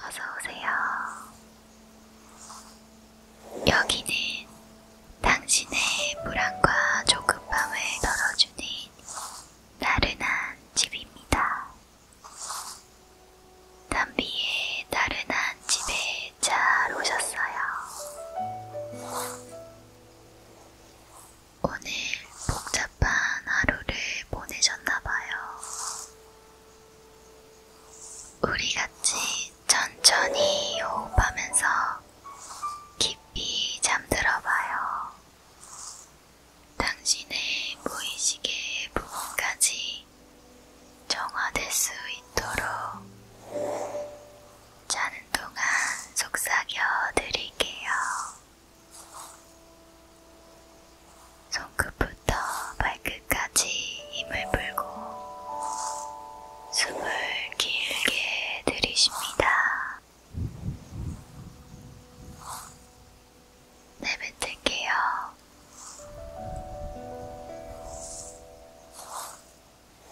어서오세요. 여기는 당신의 불안과 조급함을 덜어주는 나른한 집입니다. 담비의 나른한 집에 잘 오셨어요. 오늘 복잡한 하루를 보내셨나봐요. 우리 같이 천천히 호흡하면서 깊이 잠들어봐요. 당신의 무의식의 부분까지 정화될 수 있도록 자는 동안 속삭여 드릴게요. 손끝부터 발끝까지 힘을 풀고 숨을 길게 들이십니다. 내뱉을게요.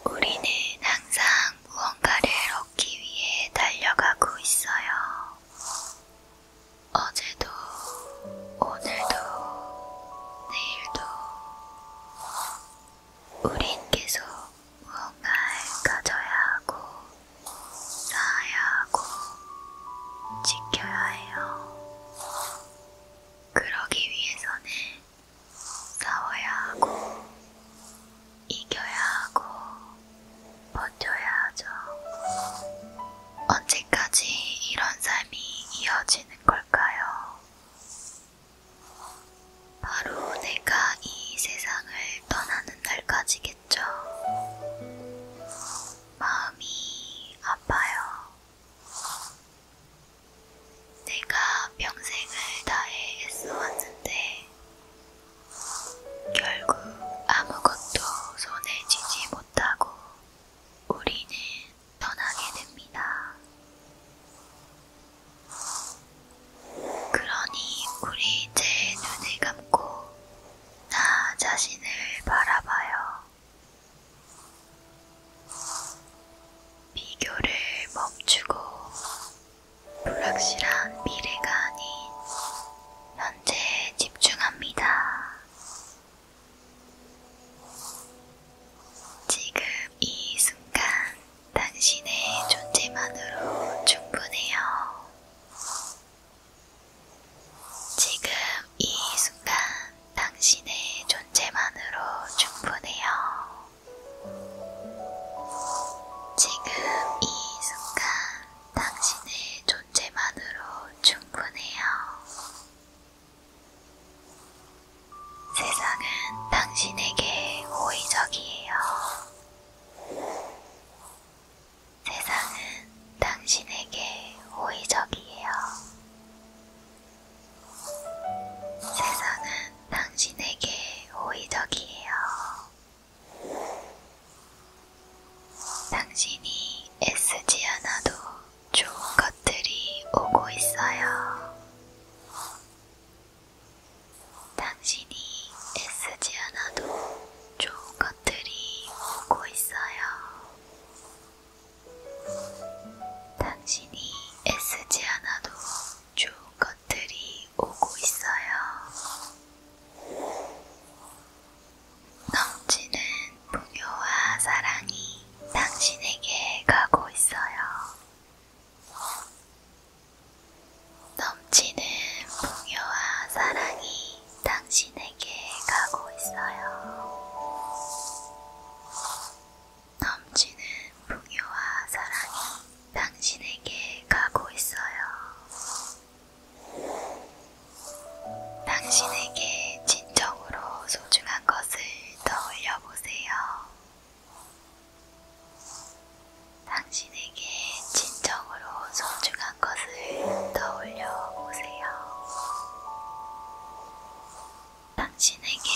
우리는 항상 무언가를 얻기 위해 달려가고 있어요. 어제도, 오늘도, 내일도, 우린 계속 무언가를 가져야 하고, 쌓아야 하고, 지켜야 해요. 그러기 위해서는 싸워야 하고, 이겨야 하고, 버텨야 하죠. 언제까지 이런 삶이 이어지는 걸까요? 바로 내가 이 세상을 떠나는 날까지겠죠. 마음이 아파요. 내가 평생을 다해 애써왔는데 결국 아무것도 손에 쥐지 못하고 우리는 떠나게 됩니다. 그러니 우리 이제 눈을 감고 나 자신을 바라봐요. 비교를 멈추고 불확실한 미래가 아닌 현재에 집중합니다. 지금 이 순간 당신의 존재만으로 충분해요. 지금 이 순간 당신의 존재만으로 충분해요. 지금 이 순간 당신의 존재만으로 충분해요. 세상은 당신에게 호의적이에요. 세상은 당신에게 호의적이에요. 세상은 당신에게 호의적이에요. 당신이 애쓰지 않아도 좋은 것들이 오고 있어요. 당신이 애쓰지 않아도 좋은 것들이 오고 있어요. 당신이 애쓰지 않아도 쭉 것들이 오고 있어요. 넘치는 풍요와 사랑이 당신에게 가고 있어요. 넘치는 풍요와 사랑이 당신에게 가고 있어요. 넘치는 풍요와 사랑이 당신에게 가고 있어요. 당신에게 진정으로 소중한 것을 떠올려 보세요. 당신에게 진정으로 소중한 것을 떠올려 보세요. 당신에게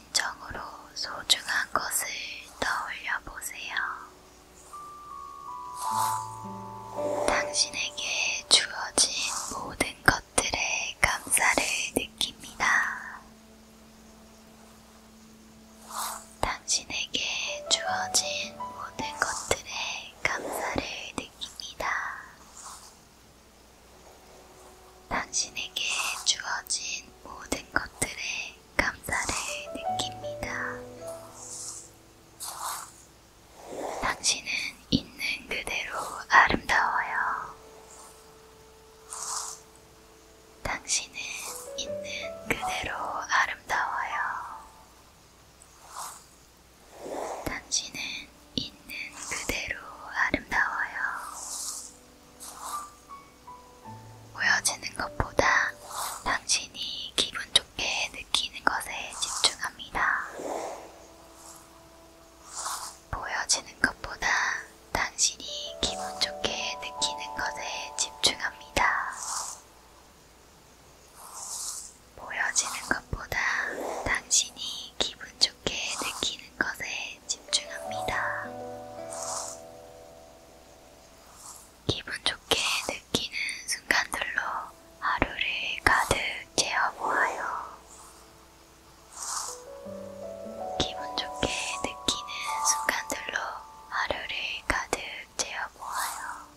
진정으로 소중한 것을 떠올려 보세요. 당신에게 주어진 모든 것들의 감사를 느낍니다. 당신에게 주어진 모든 것들의 감사를 느낍니다. 당신에게 주어진 모든 것들에 감사를 느낍니다. 당신은 있는 그대로 아름다워요. 당신은 있는 그대로 아름다워요. 당신은 있는 그대로 아름다워요. 보여지는 것보다 당신이 기분 좋게 느끼는 것에 집중합니다. 보여지는 것보다 당신이 기분 좋게 느끼는 것에 집중합니다. 보여지는 것보다 당신이 기분 좋게 느끼는 느끼는 것에 집중합니다. 기분 좋게 느끼는 순간들로 하루를 가득 채워보아요. 기분 좋게 느끼는 순간들로 하루를 가득 채워보아요.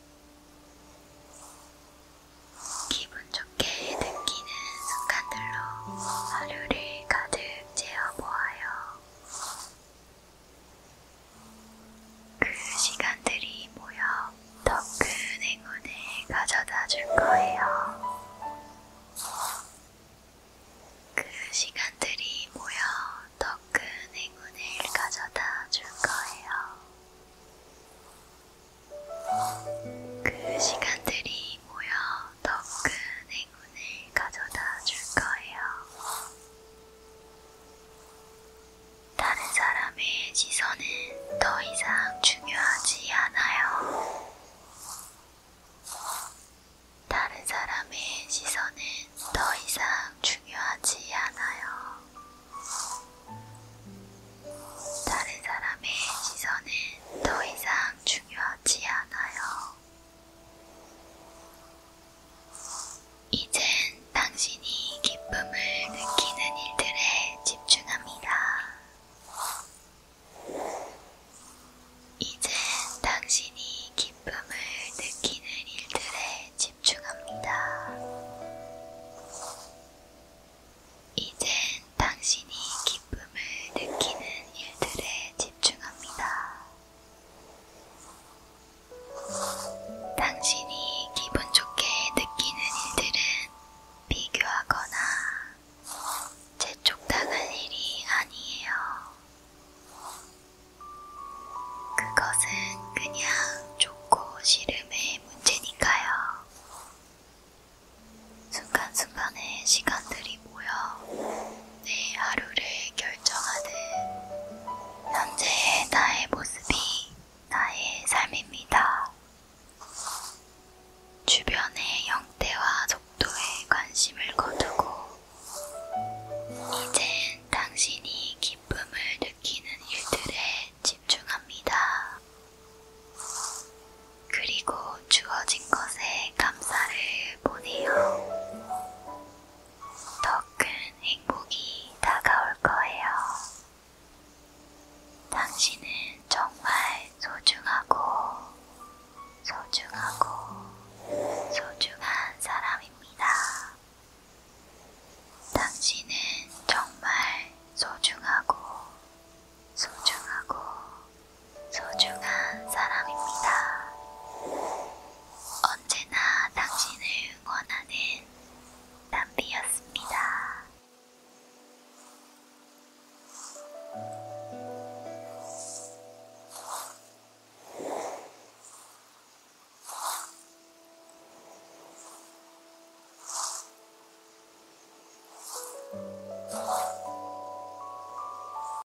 기분 좋게 느끼는 순간들로 하루를 가득 채워보아요. 그 시간들이 모여 더 큰 행운을 가져다 줄 거예요. 그 시간들이 모여 더 큰 행운을 가져다 줄 거예요. 그 시간들이 모여 더큰 행운을 가져다 줄 거예요. 다른 사람의 시선은 더 이상 중요하지 않아요. 다른 사람의 시선은 더 이상 중요하지 않아요. 다른 사람의 시선은 더 이상 중요하지 않아요. 이젠 당신이 기쁨을 느끼는 일들에 집중합니다. 이젠 당신이 기쁨을 느끼는 일들에 집중합니다. 이젠 당신이 기쁨을 느끼는 일들에 집중합니다. 당신이 기분 좋게 느끼는 일들은 비교하거나 재촉당할 일이 아니에요. 그것은 그냥 좋고 싫음의 문제니까요. 순간순간의 시간들이 사람들이 모여 내 하루를 결정하는 현재의 나의 모습이 나의 삶입니다. 주변의 형태와 속도에 관심을 거두고 이젠 당신이 기쁨을 느끼는 일들에 집중합니다. 그리고 주어진 것에 감사를 보내요. 더 큰 행복이 다가올 거예요. 당신은 정말 소중하고, 소중하고, 소중한 사람입니다. 당신은 정말 소중하고, 소중하고, 소중한 사람입니다. 언제나 당신을 응원하는 담비였습니다.